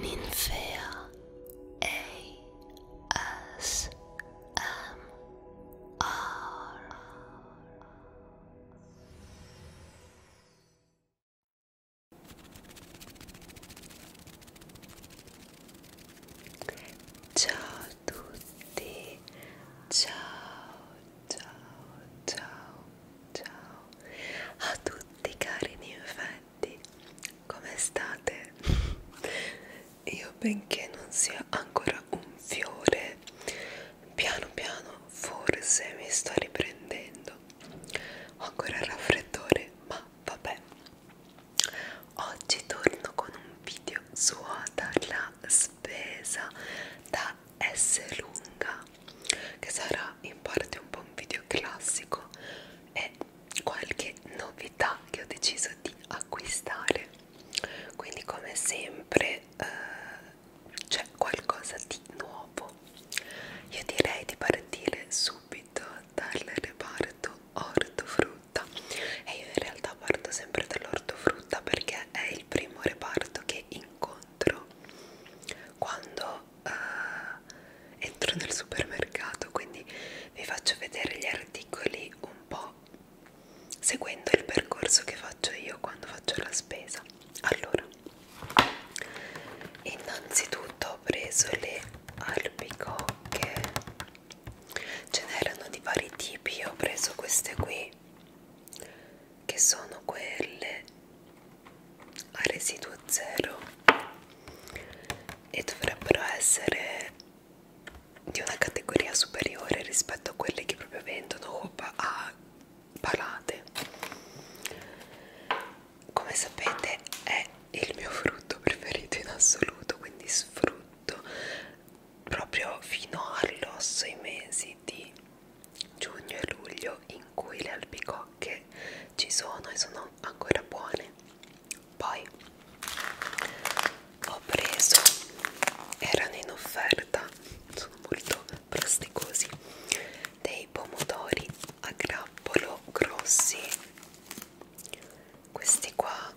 Ninfea ASMR Ciao a tutti, ciao ciao ciao ciao a tutti cari ninfei Infatti, come state? Io benché non sia ancora un fiore, piano piano forse mi sto riprendendo. Ho ancora il raffreddore, ma vabbè. Oggi torno con un video suota la spesa da S lunga che sarà in parte un po' un video classico e qualche novità che ho deciso di acquistare quindi come sempre eh, c'è qualcosa di nuovo io direi di partire subito dal reparto ortofrutta e io in realtà parto sempre dall'ortofrutta perché è il primo reparto che incontro quando uh, entro nel supermercato quindi vi faccio vedere gli articoli un po' seguendo il percorso che faccio io quando faccio la spesa allora innanzitutto ho preso le albicocche ce n'erano di vari tipi io ho preso queste qui che sono quelle a residuo zero e dovrebbero essere di una categoria superiore rispetto a quelle che proprio vendono a palate come sapete è il mio frutto preferito in assoluto quindi sfrutto proprio fino all'osso i mesi di giugno e luglio in cui le albicocche ci sono e sono ancora buone poi ho preso erano in offerta sono molto plasticosi dei pomodori a grappolo grossi questi qua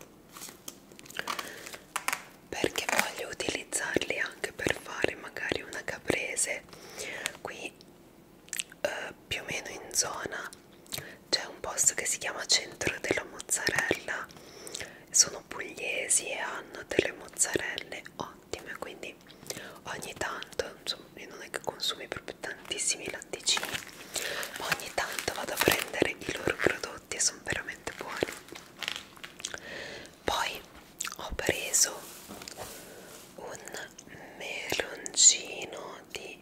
perché voglio utilizzarli anche per fare magari una caprese qui eh, più o meno in zona c'è un posto che si chiama Centro della Mozzarella sono pugliesi e hanno delle mozzarelle ottime quindi ogni tanto insomma io non è che consumi proprio tantissimi latticini ma ogni tanto vado a prendere i loro prodotti e sono veramente buoni poi ho preso un meloncino di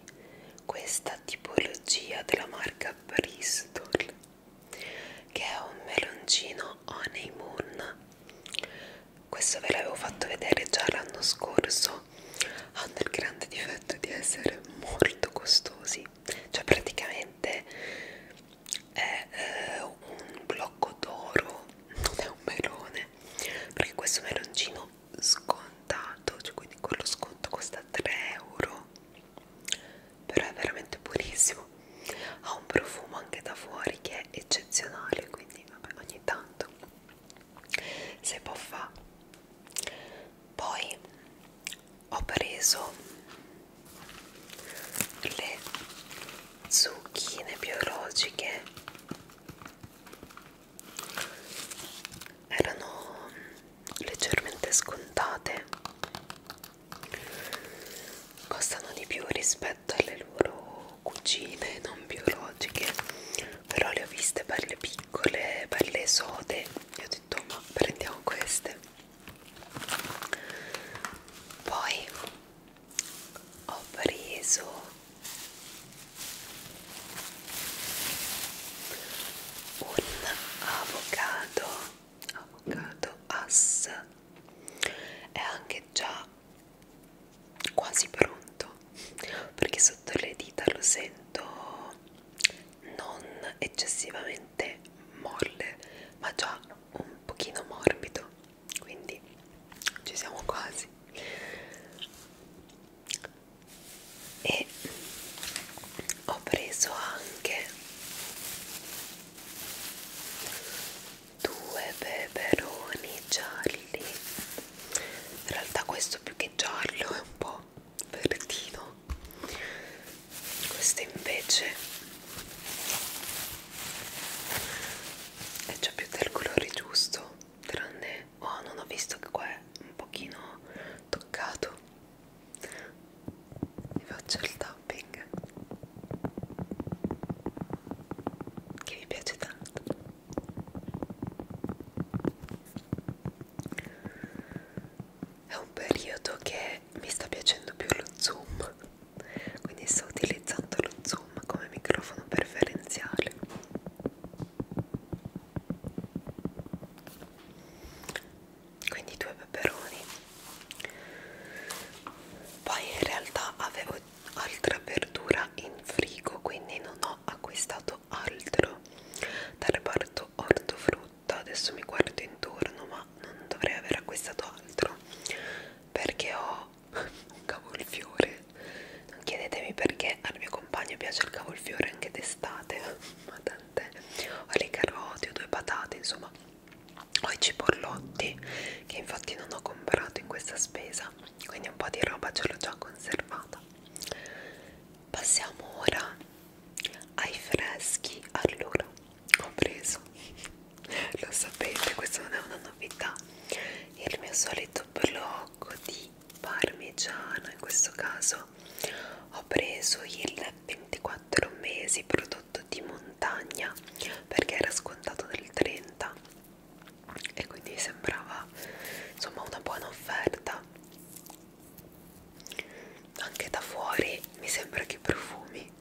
questa tipologia della marca Bristol che è un meloncino Honey Moon questo ve l'avevo fatto vedere già l'anno scorso hanno il grande difetto di essere molto costosi cioè praticamente è eh, un blocco d'oro non è un melone perché questo meloncino scontato cioè quindi con lo sconto costa 3 euro però è veramente buonissimo ha un profumo anche da fuori che è eccezionale quindi vabbè ogni tanto si può fa poi ho preso le zucchine biologiche erano leggermente scontate costano di più rispetto alle loro cucine non biologiche però le ho viste per le piccole per le sode e ho detto ma prendiamo queste poi ho preso un avocado avocado as è anche già quasi pronto perché sotto le dita lo sento non eccessivamente molle ma già un pochino morbido quindi ci siamo quasi e ho preso anche due peperoni gialli in realtà questo più che giallo è un po' verdino questo invece è già più del colore giusto tranne oh non ho visto che qua è un pochino toccato e faccio il tapping che mi piace tanto è un periodo che mi sta piacendo più lo zoom quindi sto utilizzando lo zoom Zoom come microfono preferenziale. Quindi due peperoni. Poi in realtà avevo altra verdura in frigo, quindi non ho acquistato altro dal reparto ortofrutta. Adesso mi guardo intorno, ma non dovrei aver acquistato altro perché ho un cavolfiore non chiedetemi perché al mio compagno piace il cavolfiore anche d'estate ma tant'è ho le carote ho due patate insomma ho i cipollotti che infatti non ho comprato in questa spesa quindi un po' di roba ce l'ho già conservata passiamo ora ai freschi allora ho preso lo sapete questa non è una novità il mio solito blu poco di parmigiano in questo caso ho preso il 24 mesi prodotto di montagna perché era scontato del 30 e quindi sembrava insomma una buona offerta anche da fuori mi sembra che profumi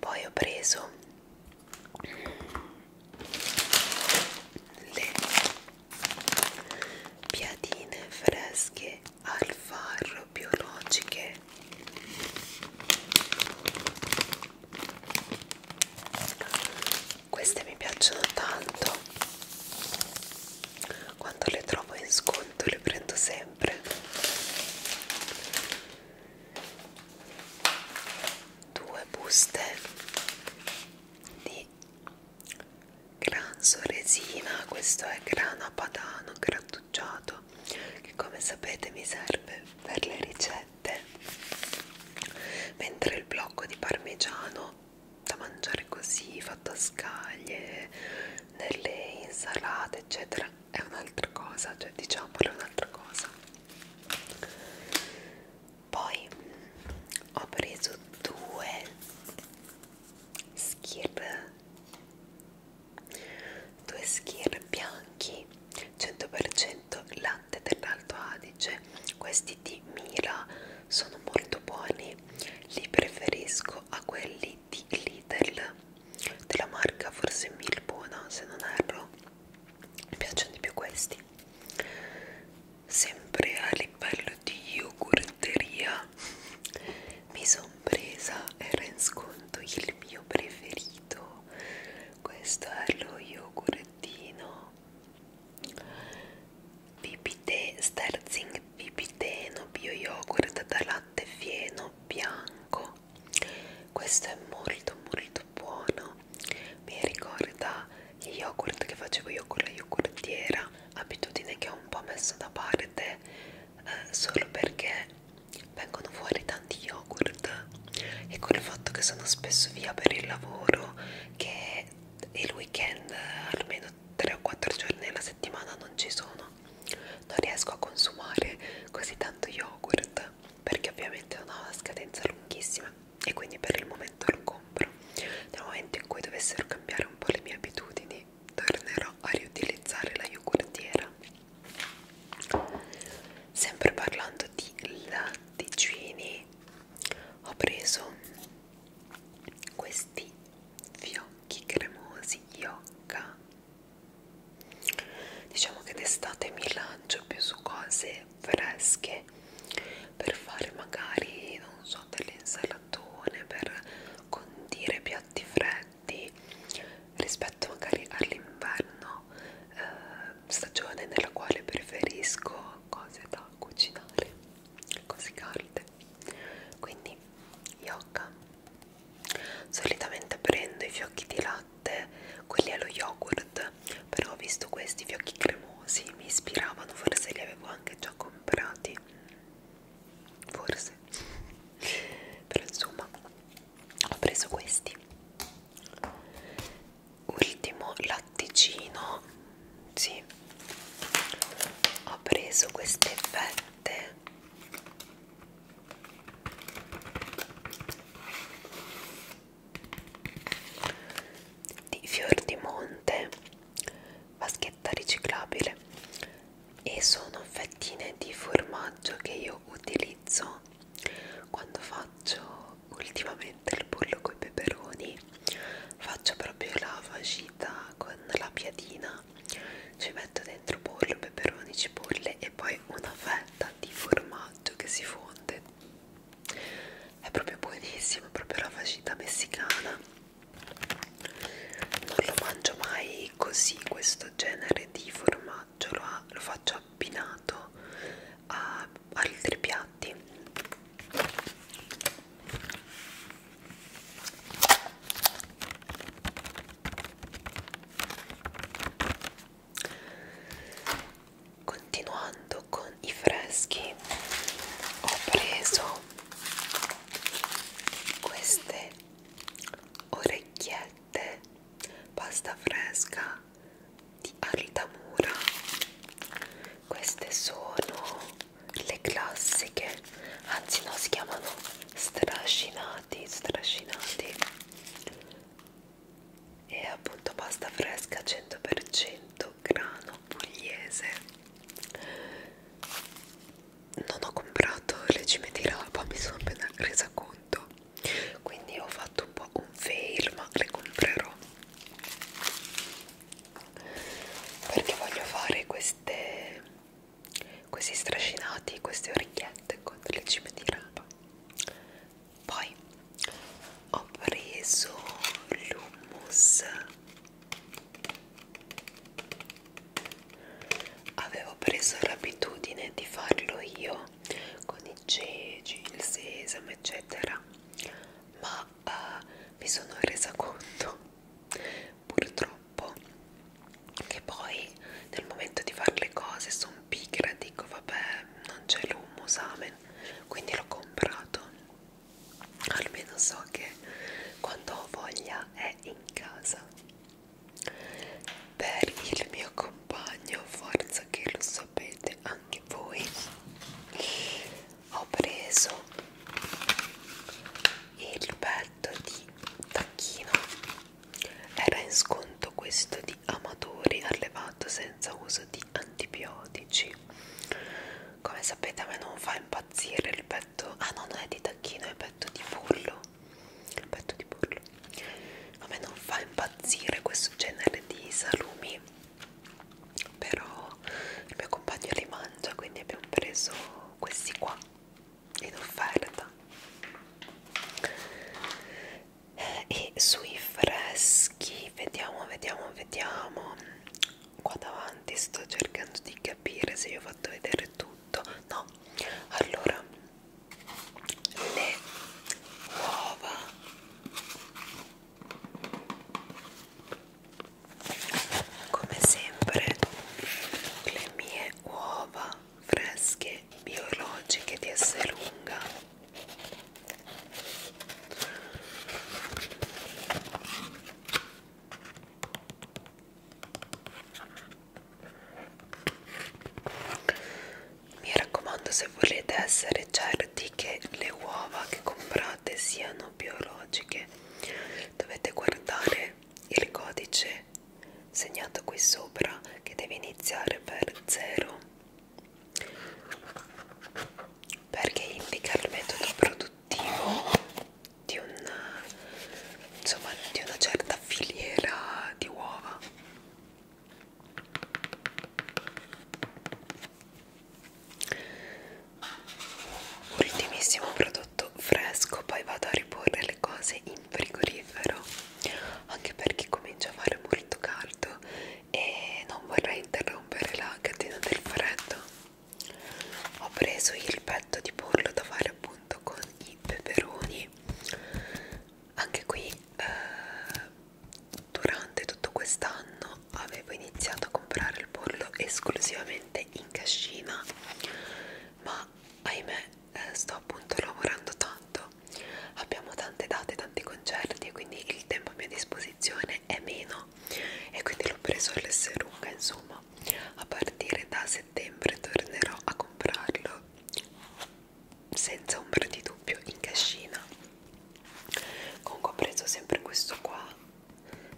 poi ho preso le piadine fresche al farro biologiche queste mi piacciono tanto quando le trovo in sconto le prendo sempre due buste di granzo resina questo è grana padano grattugiato che come sapete mi serve per le ricette mentre il blocco di parmigiano da mangiare così fatto a scaglie nelle insalate eccetera è un'altra cosa cioè diciamo è un'altra cosa poi ho preso due skir due skir bianchi 100% latte dell'Alto Adige questi di Mila sono molto buoni li preferisco a quelli di Lidl della marca forse Milbona se non erro mi piacciono di più questi sempre a livello di yogurteria mi sono presa era in sconto il mio preferito questo è lo yogurtino Vipite, Sterzing Vipiteno Bio Yogurt da latte fieno bianco questo è molto molto buono mi ricorda gli yogurt che facevo io con la yogurtiera abitudine che ho un po' messo da parte eh, solo perché vengono fuori tanti yogurt e col fatto che sono spesso via per il lavoro che il weekend almeno 3 o 4 giorni alla settimana non ci sono non riesco a consumare così tanto yogurt perché ovviamente non ho una scadenza lunghissima e quindi per il momento lo compro nel momento in cui dovessero cambiare un po' le mie abitudini tornerò a riutilizzare la yogurtiera sempre parlando di latticini ho preso questi fiocchi cremosi Yocca diciamo che d'estate mi lancio più su cose fresche per fare magari non so delle insalatone per condire piatti freddi rispetto magari all'inverno eh, stagione nella quale preferisco cose da cucinare così calde quindi yoga solitamente prendo i fiocchi di latte latte, quelli allo yogurt, però ho visto questi fiocchi cremosi, mi ispiravano, forse li avevo anche già comprati, forse, però insomma ho preso questi. Ultimo latticino, sì, ho preso queste fette di fior di monte vaschetta riciclabile e sono fettine di formaggio che io utilizzo quando faccio ultimamente il pollo con i peperoni faccio proprio la vagita con la piadina ci metto dentro pollo, peperoni, cipolle e poi una fetta di formaggio che si fonde è proprio buonissimo, è proprio la fagita messicana non lo mangio mai così questo genere di formaggio lo, ha, lo faccio abbinato a altri piatti Continuando con i freschi, ho preso queste orecchiette pasta fresca di Altamura. Queste sono le classiche, anzi no, si chiamano strascinati, strascinati e appunto pasta fresca 100% grano pugliese non ho comprato le cime di rapa mi sono appena resa conto quindi ho fatto un po' un fail ma le comprerò perché voglio fare queste questi strascinati queste orecchiette con le cime di rapa poi ho preso l'hummus avevo preso l'abitudine di farlo io con i ceci, il sesamo eccetera ma uh, mi sono resa conto purtroppo che poi nel momento di fare le cose sono pigra dico vabbè non c'è l'hummus amen quindi l'ho comprato almeno so che quando ho voglia è in casa per il mio compagno forza che lo sapete anche voi ho preso il petto di tacchino era in sconto questo di amatori allevato senza uso di antibiotici come sapete a me non fa impazzire il petto ah no non è di tacchino è petto di pollo petto di pollo a me non fa impazzire questo genere di salumi però il mio compagno li mangia quindi abbiamo preso questi qua in offerta e sui freschi vediamo vediamo vediamo qua davanti sto cercando di capire se vi ho fatto vedere tutto no allora le uova come sempre le mie uova fresche biologiche di lunga mi raccomando se volete essere certi che le uova che comprate siano biologiche dovete guardare il codice segnato qui sopra che deve iniziare per 0 perché indica il metodo produttivo di una, insomma, di una certa filiera di uova ultimissimo prodotto fresco poi vado a riporre le cose in frigorifero anche perché comincia a fare molto molto caldo e non vorrei interrompere la catena del freddo ho preso il petto di pollo da fare appunto con i peperoni anche qui eh, durante tutto quest'anno avevo iniziato a comprare il pollo esclusivamente in cascina ma ahimè eh, sto appunto lavorando tanto abbiamo tante date, tanti concerti e quindi il tempo a mia disposizione è meno e quindi l'ho preso all'esserunga insomma a partire da settembre tornerò a comprarlo senza ombra di dubbio in cascina comunque ho preso sempre questo qua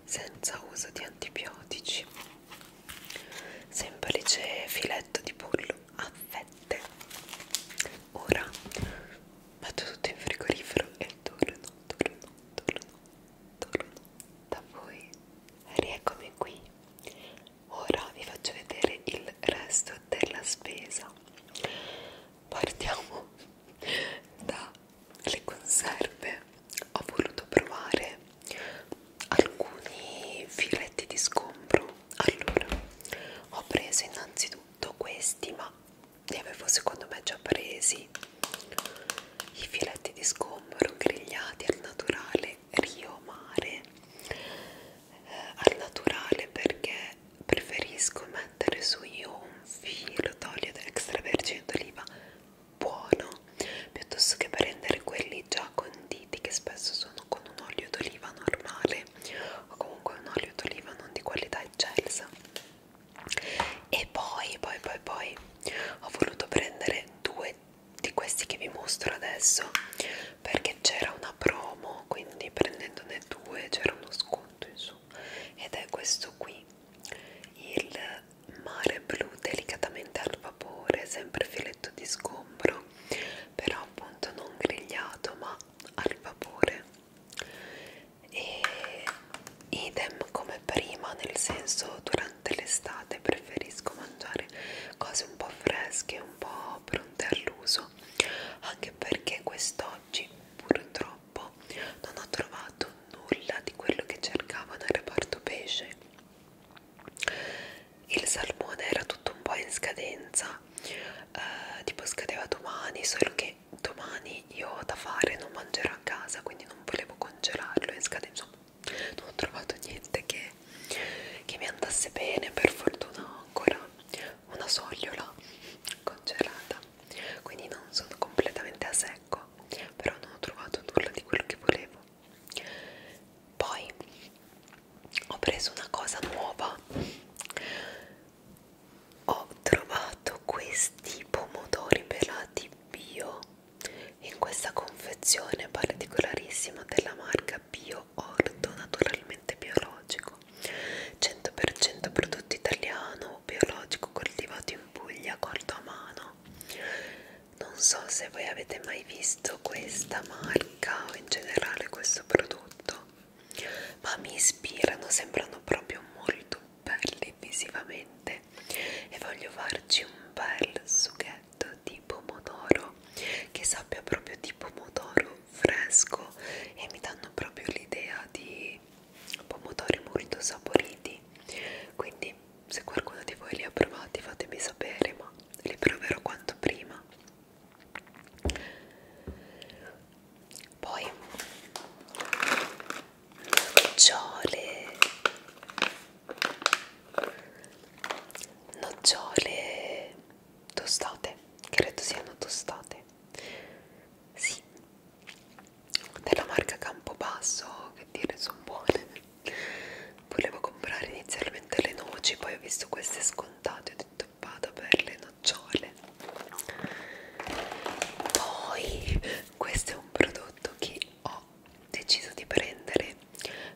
senza uso di antibiotici semplice filetto di pollo a fette ora metto tutto in frigorifero e torno, torno, torno, torno da voi rieccomi qui ora vi faccio vedere il resto della spesa partiamo dalle conserve ho voluto provare alcuni filetti di scombro allora ho preso innanzitutto questi ma li avevo secondo me già presi i filetti di sgombro grigliati al naturale rio mare eh, al naturale perché preferisco mettere su io un filo d'olio extravergine d'oliva buono piuttosto che prendere quelli già conditi che spesso sono con un olio d'oliva normale o comunque un olio d'oliva non di qualità eccelsa e poi poi poi poi ho voluto prendere due di questi che vi mostro adesso perché c'era una promo quindi prendendone due c'era uno sconto in su ed è questo qui il mare blu delicatamente al vapore sempre filetto di sgombro però appunto non grigliato ma al vapore e idem come prima nel senso durante l'estate preferisco mangiare cose un po' fresche un po' pronte all'uso anche perché quest'oggi purtroppo non ho trovato nulla di quello che cercavo nel reparto pesce il salmone era tutto un po' in scadenza fa eh, tipo scadeva domani solo che domani io ho da fare non mangerò a casa quindi non volevo congelarlo e scade insomma non ho trovato niente che, che mi andasse bene per fortuna ho ancora una sogliola congelata quindi non sono completamente a secco però non ho trovato nulla di quello che volevo poi ho preso una cosa nuova ho trovato questi pomodori pelati bio in questa confezione particolarissima della marca bio orto naturalmente biologico 100% prodotto italiano biologico coltivato in Puglia corto a mano non so se voi avete mai visto questa marca o in generale questo prodotto ma mi ispirano, sembrano proprio molto belli visivamente e voglio farci un bel sughetto di pomodoro che sappia proprio di pomodoro fresco e mi danno proprio l'idea di pomodori molto saporiti quindi se qualcuno di voi li ha provati fatemi sapere ma li proverò quanto prima poi nocciole nocciole tostate credo siano tostate sì della marca Campobasso che dire sono buone volevo comprare inizialmente le noci poi ho visto queste scontate ho detto vado per le nocciole poi questo è un prodotto che ho deciso di prendere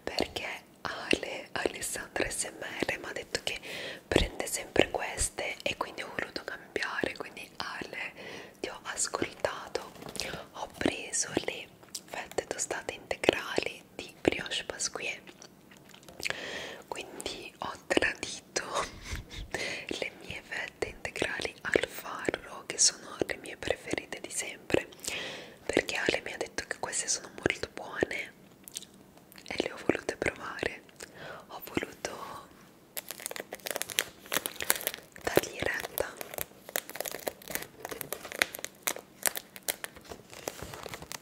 perché Ale, Alessandra SMR mi ha detto che prende sempre queste e quindi ho voluto cambiare quindi Ale ti ho ascoltato ho preso le fette tostate integrali di brioche pasquier quindi ho tradito le mie fette integrali al farro che sono le mie preferite di sempre perché Ale mi ha detto che queste sono molto buone e le ho volute provare ho voluto dargli retta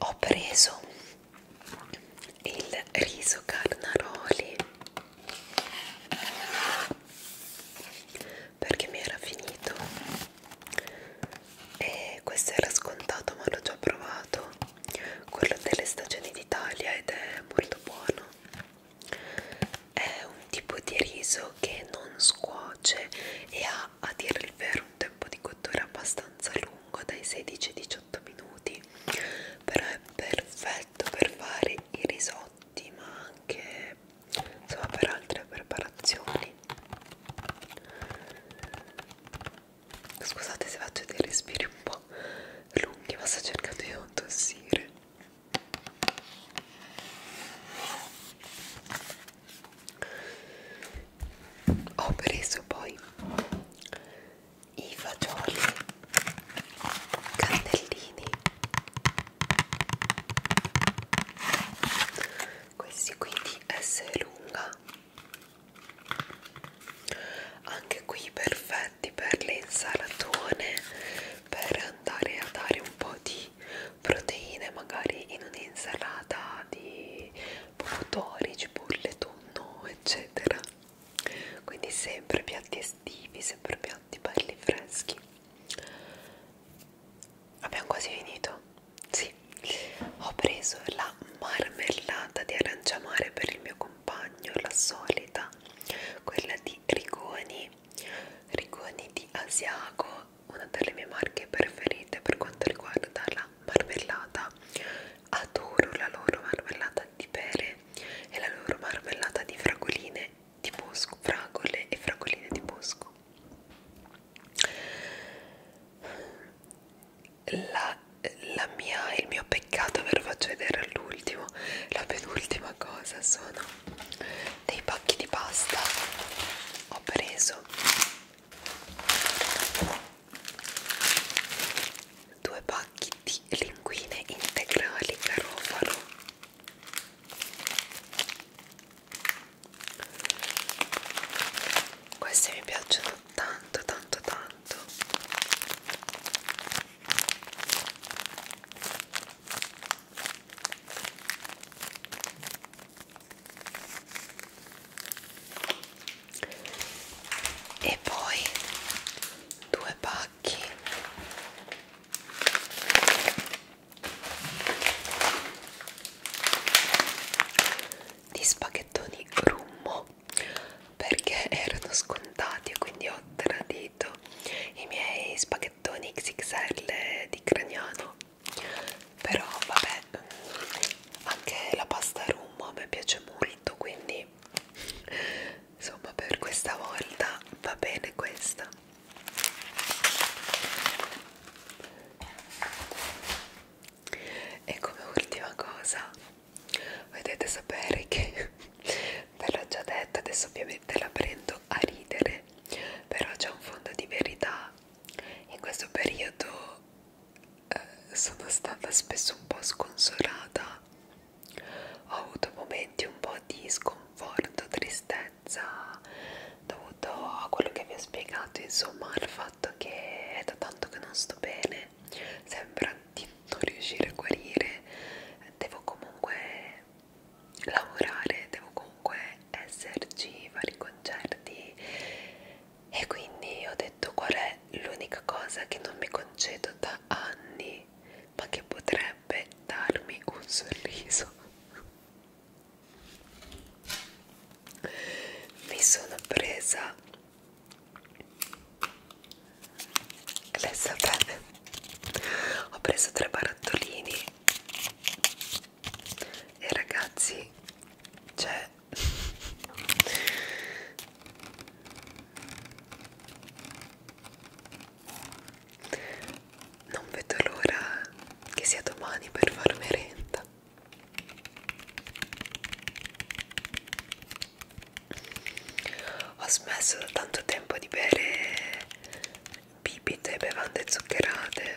ho preso il riso carnaroli perché mi era finito e questo era scontato ma l'ho già provato quello delle stagioni d'Italia ed è molto buono è un tipo di riso che non scuoce e ha a dire il vero un tempo di cottura abbastanza lungo lungo dai 16 ai 18 minuti però è perfetto per fare i risotti ma anche insomma per altre preparazioni scusate se faccio dei respiri un po' lunghi ma sto cercando di non tossire ho preso poi i fagioli cannellini questi qui di S lunga anche qui perfetti per le insalatone per andare a dare un po' di proteine magari in un'insalata di pomodori, cipolle, tonno eccetera quindi sempre piatti estivi sempre piatti belli freschi abbiamo quasi finito sì ho preso la marmellata di aranciamare per il mio compagno la solita quella di rigoni rigoni di asiago una delle mie marche preferite per quanto riguarda la marmellata adoro la loro marmellata di pere e la loro marmellata di fragoline di bosco fragole e fragoline di bosco la, la mia, il mio peccato ve lo faccio vedere all'ultimo la penultima cosa sono dei pacchi di pasta ho preso due pacchi di linguine integrali carofalo queste mi piacciono tanto tanto tanto e poi due pacchi di spaghettoni rummo perché erano scontati e quindi ho tradito i miei spaghettoni XXL di Craniano però vabbè anche la pasta rum a me piace molto quindi insomma per questa volta va bene questa e come ultima cosa vedete sapere che ve l'ho già detta adesso ovviamente la prendo a ridere però c'è un fondo di verità in questo periodo eh, sono stata spesso un po' sconsolata, ho avuto momenti un po' di sconforto, tristezza dovuto a quello che vi ho spiegato, insomma al fatto che è da tanto che non sto bene, sembra di non riuscire a guarire, devo comunque lavorare, devo comunque esserci, fare i concerti e quindi ho detto qual è l'unica cosa che non mi concedo da anni, ma che potrebbe darmi un sorriso. Mi sono presa le sapere. Ho preso tre barattolini e ragazzi, cioè non vedo l'ora che sia domani per far merenda. Ho smesso da tanto tempo di bere bibite e bevande zuccherate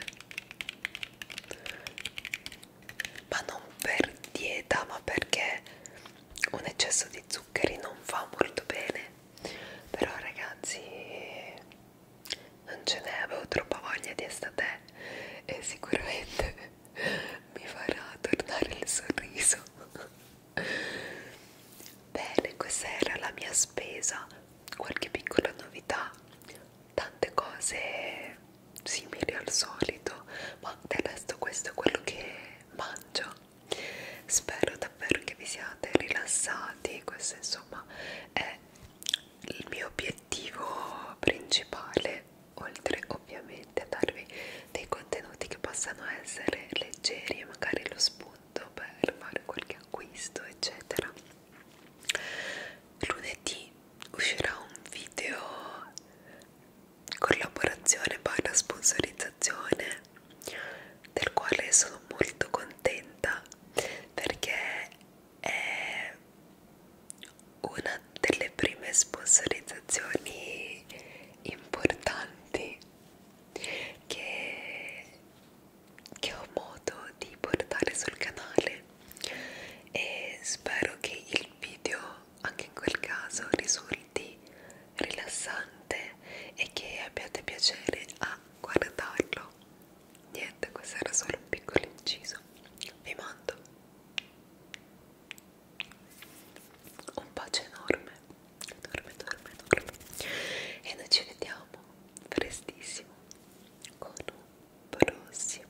ma non per dieta ma perché un eccesso di zuccheri non fa molto bene però ragazzi non ce n'è avevo troppa voglia di estate e sicuramente mi farà tornare il sorriso bene questa era la mia spesa qualche piccola novità tante cose simili al solito ma del resto questo è quello che mangio spero davvero che vi siate rilassati questo insomma è il mio obiettivo principale oltre ovviamente a darvi dei contenuti che possano essere leggeri e magari lo spunto per fare qualche acquisto eccetera lunedì uscirà un video collaborazione barra sponsorizzazione del quale sono molto contenta perché è una delle prime sponsorizzazioni importanti che, che ho modo di portare sul canale e spero che il video anche in quel caso risulti rilassante e che abbiate piacere a guardarlo. Niente, questo era solo un piccolo inciso. Vi mando un bacio enorme, enorme, enorme, enorme. E noi ci vediamo prestissimo con un prossimo